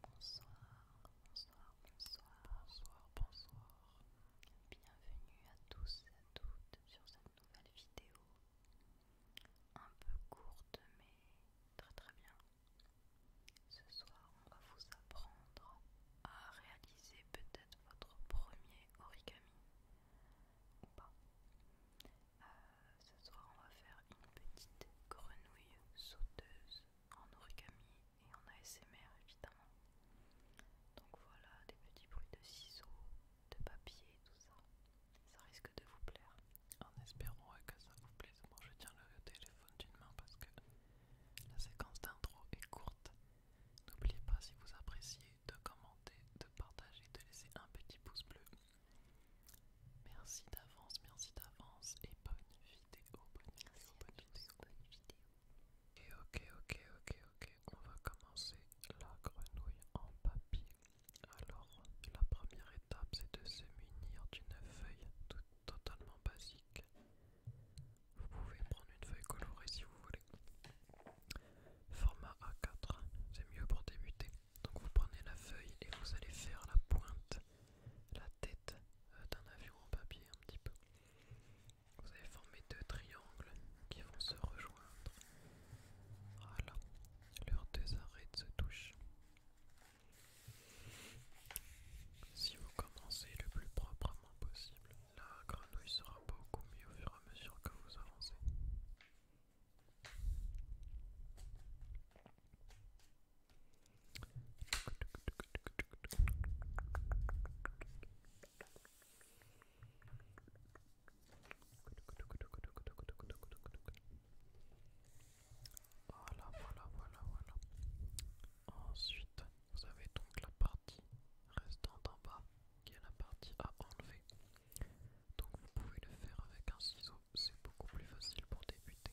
Bonsoir, bonsoir, bonsoir, bonsoir, bonsoir. Bienvenue à tous et à toutes sur cette nouvelle vidéo. Un peu courte mais très très bien. Ce soir on va vous apprendre à réaliser peut-être votre premier origami ou pas. Euh, ce soir, on va faire une petite grenouille sauteuse en origami et en ASMR évidemment. Donc voilà, des petits bruits de ciseaux, de papier, tout ça. Ça risque de vous plaire. En espérant que ça vous plaise, moi je tiens le téléphone d'une main parce que la séquence d'intro est courte. N'oubliez pas si vous appréciez de commenter, de partager, de laisser un petit pouce bleu. Merci d'avance, merci d'avance et bonne vidéo, bonne vidéo, Et ok, ok, ok, ok, on va commencer la grenouille en papier. Alors, la première étape, c'est de se munir d'une feuille totalement basique. Vous pouvez prendre une feuille colorée si vous voulez. Format A4, c'est mieux pour débuter. Donc vous prenez la feuille et vous allez faire la pointe, la tête euh, d'un avion en papier un petit peu. Vous allez former deux triangles qui vont se rejoindre. Voilà, leurs deux arêtes se touchent. Si vous commencez le plus proprement possible, la grenouille sera beaucoup mieux au fur et à mesure que vous avancez. Voilà, voilà, voilà, voilà. Ensuite, vous avez donc la partie restante en bas qui est la partie à enlever. Donc vous pouvez le faire avec un ciseau, c'est beaucoup plus facile pour débuter.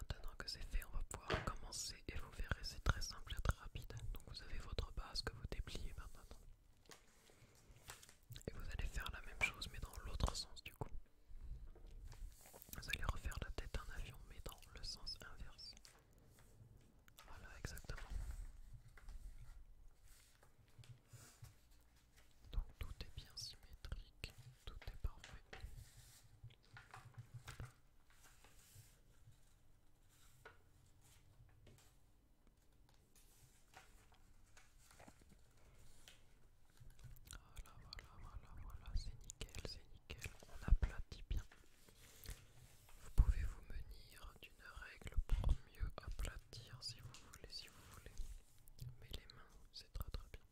Maintenant que c'est fait, on va pouvoir commencer et vous verrez, c'est très simple et très rapide. Donc vous avez votre base que vous dépliez maintenant. Et vous allez faire la même chose mais dans l'autre sens du coup. Vous allez refaire la tête d'un avion mais dans le sens inverse. Voilà exactement. Donc tout est bien symétrique, tout est parfait. Voilà, voilà, voilà, voilà, c'est nickel, c'est nickel, on aplatit bien. Vous pouvez vous menir d'une règle pour mieux aplatir si vous voulez, si vous voulez. Mais les mains, c'est très très bien.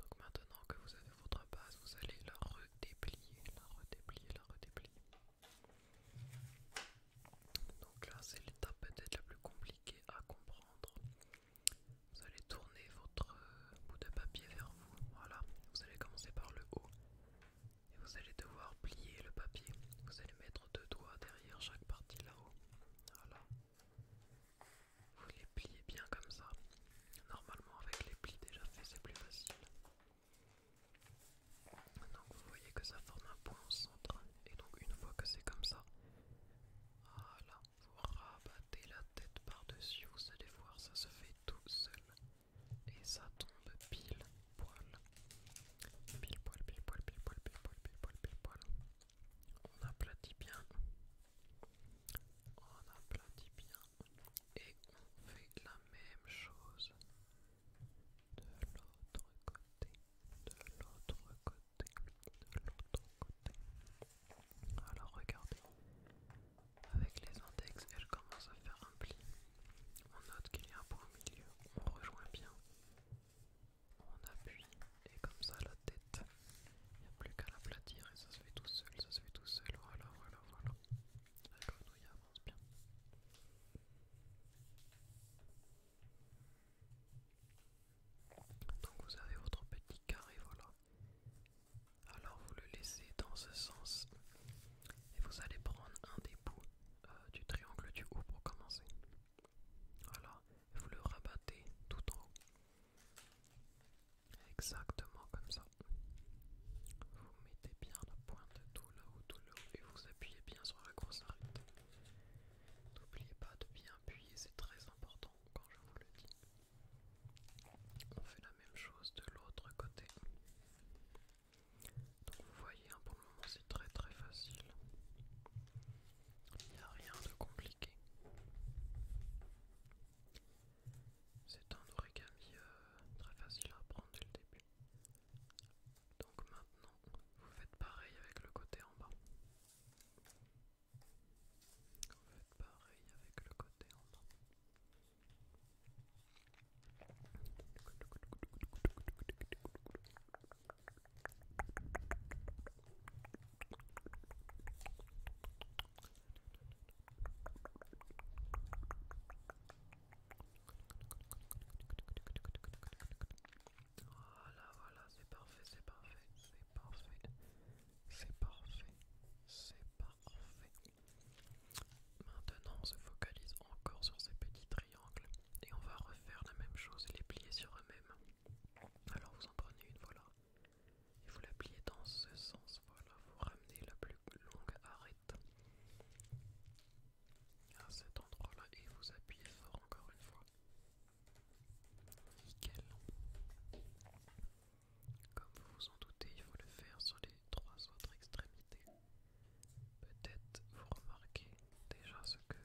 Donc maintenant que vous avez votre base, vous allez la redéplier, la redéplier, la redéplier. Donc là, c'est l'étape peut-être la plus compliquée à comprendre. Vous allez tourner votre euh, bout de papier vers vous. Voilà, vous allez commencer par le haut. Et vous allez devoir plier le papier. Vous allez mettre deux doigts derrière chaque partie là-haut. Voilà vous les pliez bien comme ça. Normalement avec les plis déjà faits c'est plus facile. Donc vous voyez que ça forme un point au centre et donc une fois que c'est comme ça, voilà, vous rabattez la tête par-dessus, vous allez voir ça se fait tout seul et ça tombe pile poil. Pile poil, pile poil, pile poil, pile poil, pile poil, pile poil. On aplatit bien on aplatit bien et on fait la même chose de l'autre côté, de l'autre côté, de l'autre côté. Alors regardez, avec les index, elle commence à faire un pli. On note qu'il y a un point au milieu, on rejoint bien, on appuie et comme ça la il n'y a plus qu'à l'aplatir et ça se fait tout seul, ça se fait tout seul. Voilà, voilà, voilà. La avance bien. Donc vous avez votre petit carré, voilà. Alors vous le laissez dans ce sens et vous allez prendre un des bouts euh, du triangle du haut pour commencer. Voilà, vous le rabattez tout en haut. Exactement comme ça. Vous mettez bien la pointe tout là haut, tout là et vous appuyez bien sur la grosse arête. N'oubliez pas de bien appuyer, c'est très important quand je vous le dis. On fait la même chose de l'autre côté. Donc vous voyez, un pour le moment c'est très très facile. Il n'y a rien de compliqué. C'est un origami euh, très facile à apprendre dès le début. Donc maintenant, vous faites pareil avec le côté en bas. Vous faites pareil avec le côté en bas. Voilà, voilà, c'est parfait, c'est parfait, c'est parfait, c'est parfait, c'est parfait. Maintenant, on se focalise encore sur ces petits triangles et on va refaire la même chose, les plier sur eux-mêmes. Alors vous en prenez une, voilà et vous la dans ce sens, voilà, vous ramenez la plus longue arête à cet endroit-là et vous appuyez fort encore une fois. Nickel. Comme vous vous en doutez, il faut le faire sur les trois autres extrémités. Peut-être vous remarquez déjà ce que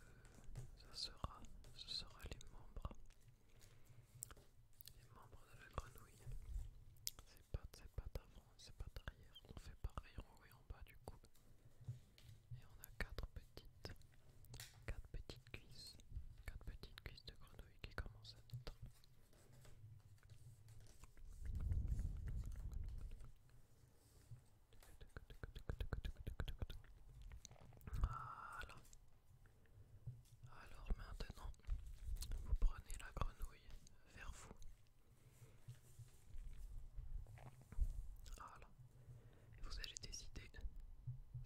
ça sera, ce sera les membres. Les membres de la grenouille. c'est pas d'avant, c'est avant, ses On fait pareil en haut et en bas du coup. Et on a quatre petites, quatre petites cuisses, quatre petites cuisses de grenouille qui commencent à naître. Voilà, alors maintenant, vous prenez la grenouille vers vous. Voilà. Et vous allez décider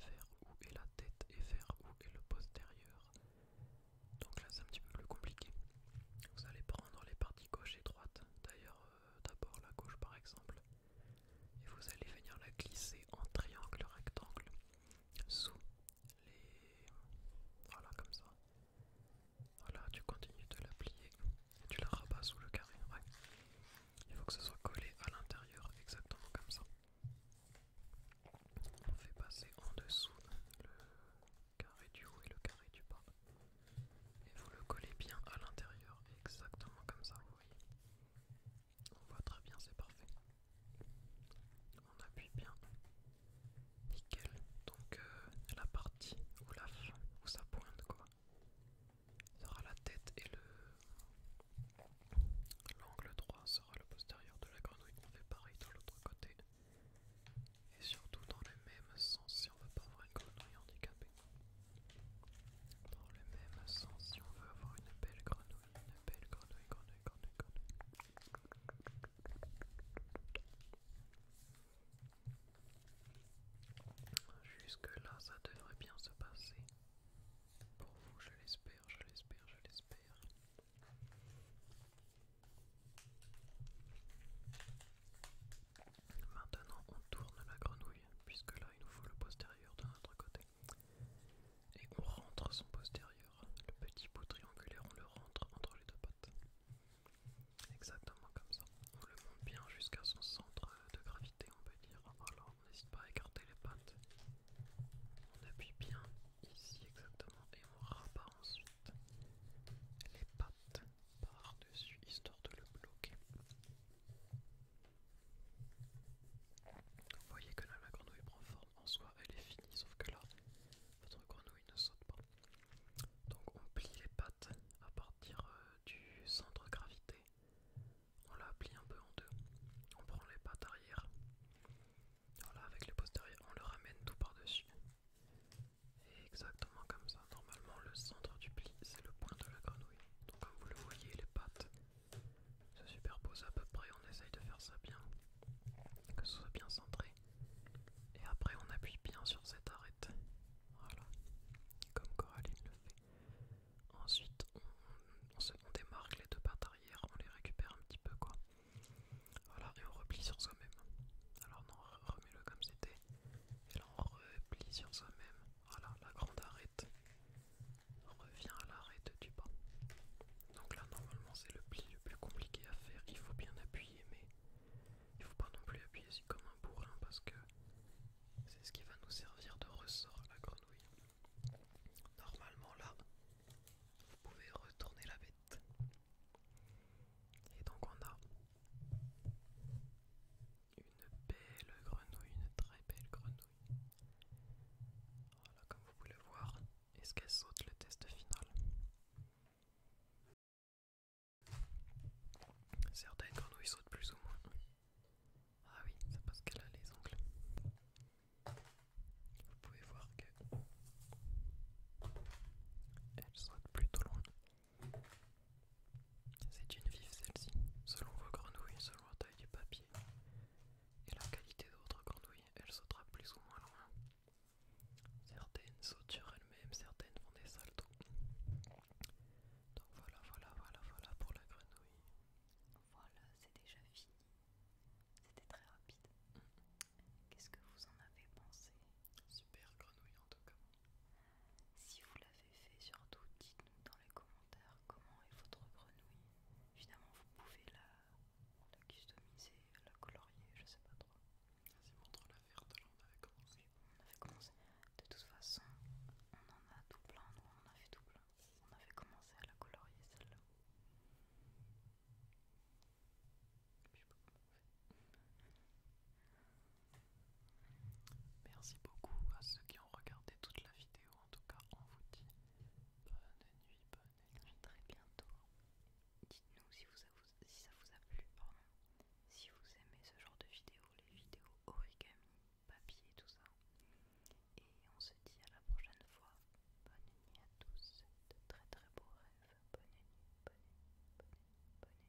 vers où est la tête et vers où est le postérieur. Donc là c'est un petit peu plus compliqué. Vous allez prendre les parties gauche et droite. D'ailleurs euh, d'abord la gauche par exemple. Et vous allez venir la glisser en triangle rectangle sous les... Voilà, comme ça. Voilà, tu continues de la plier et tu la rabats sous le carré. Il faut que ce soit collé à l'intérieur, exactement comme ça. On fait passer en dessous le carré du haut et le carré du bas. Et vous le collez bien à l'intérieur, exactement comme ça, vous voyez. On voit très bien, c'est parfait. On appuie bien. Nickel. Donc euh, la partie où la où ça pointe quoi. Sera la tête et le l'angle droit sera le postérieur de la grenouille. On fait pareil de l'autre côté. Et surtout dans le même sens si on veut pas avoir une grenouille handicapée. Dans le même sens si on veut avoir une belle grenouille. Jusque là, ça devrait bien se passer. Pour vous, je l'espère, je l'espère, je l'espère. Maintenant, on tourne la grenouille, puisque là, il nous faut le postérieur de notre côté. Et on rentre son postérieur, le petit bout triangulaire, on le rentre entre les deux pattes. Exactement comme ça. On le monte bien jusqu'à son centre de gravité, on peut dire. Alors, on n'hésite pas à écarter les pattes. On appuie bien ici exactement et on rabat ensuite les pattes par-dessus, histoire de le bloquer. Vous voyez que la grenouille prend forme, en soi elle est finie, sauf que là votre grenouille ne saute pas. Donc on plie les pattes à partir euh, du centre gravité, on la plie un peu en deux, on prend les pattes arrière, voilà avec les postérieurs on le ramène tout par-dessus. Et exactement comme ça, normalement le centre du pli c'est le point de la grenouille. Donc comme vous le voyez les pattes se superpose à peu près, on essaye de faire ça bien, que ce soit bien centré. Et après on appuie bien sur cette arête, voilà, comme Coraline le fait. Ensuite on, on démarque les deux pattes arrière, on les récupère un petit peu quoi. Voilà, et on replie sur soi-même. Alors non, remets-le comme c'était. Et là on replie sur soi-même. Voilà, la grande arête revient à l'arrêt du bas. Donc là normalement c'est le pli le plus compliqué à faire, il faut bien appuyer mais il faut pas non plus appuyer si comme un bourrin parce que c'est ce qui va nous servir de ressort à la grenouille. Normalement là, vous pouvez retourner la bête. Et donc on a une belle grenouille, une très belle grenouille. Voilà, comme vous pouvez le voir, est-ce qu'elle saute le test final Certaines grenouilles sautent plus ou moins. Ah oui, c'est parce qu'elle a les ongles. Vous pouvez voir que elle saute plutôt loin. C'est une vive celle-ci, selon vos grenouilles, selon la taille du papier et la qualité votre grenouille, elle sautera plus ou moins loin. Certaines sautent sur elles-mêmes, certaines font des saltos. Donc voilà, voilà, voilà, voilà pour la grenouille. Voilà, c'est déjà fini. C'était très rapide. Mm. Qu'est-ce que vous en avez pensé Super grenouille en tout cas. Si vous l'avez fait, surtout dites-nous dans les commentaires comment est votre grenouille. Évidemment, vous pouvez la, customiser, la colorier, je sais pas trop. Vas-y, montre-la verte, on avait commencé. on avait commencé. De toute façon, on en a tout plein, on en a fait tout plein. On avait commencé à la colorier celle-là. Je sais pas comment Merci beaucoup à ceux qui ont regardé toute la vidéo. En tout cas, on vous dit Bonne nuit, bonne nuit. très bientôt. Dites-nous si, ça vous a plu. Pardon. Si vous aimez ce genre de vidéos, les vidéos origami, papier, tout ça. Et on se dit à la prochaine fois. Bonne nuit à tous. De très très beaux rêves. Bonne nuit, bonne nuit, bonne nuit, bonne nuit.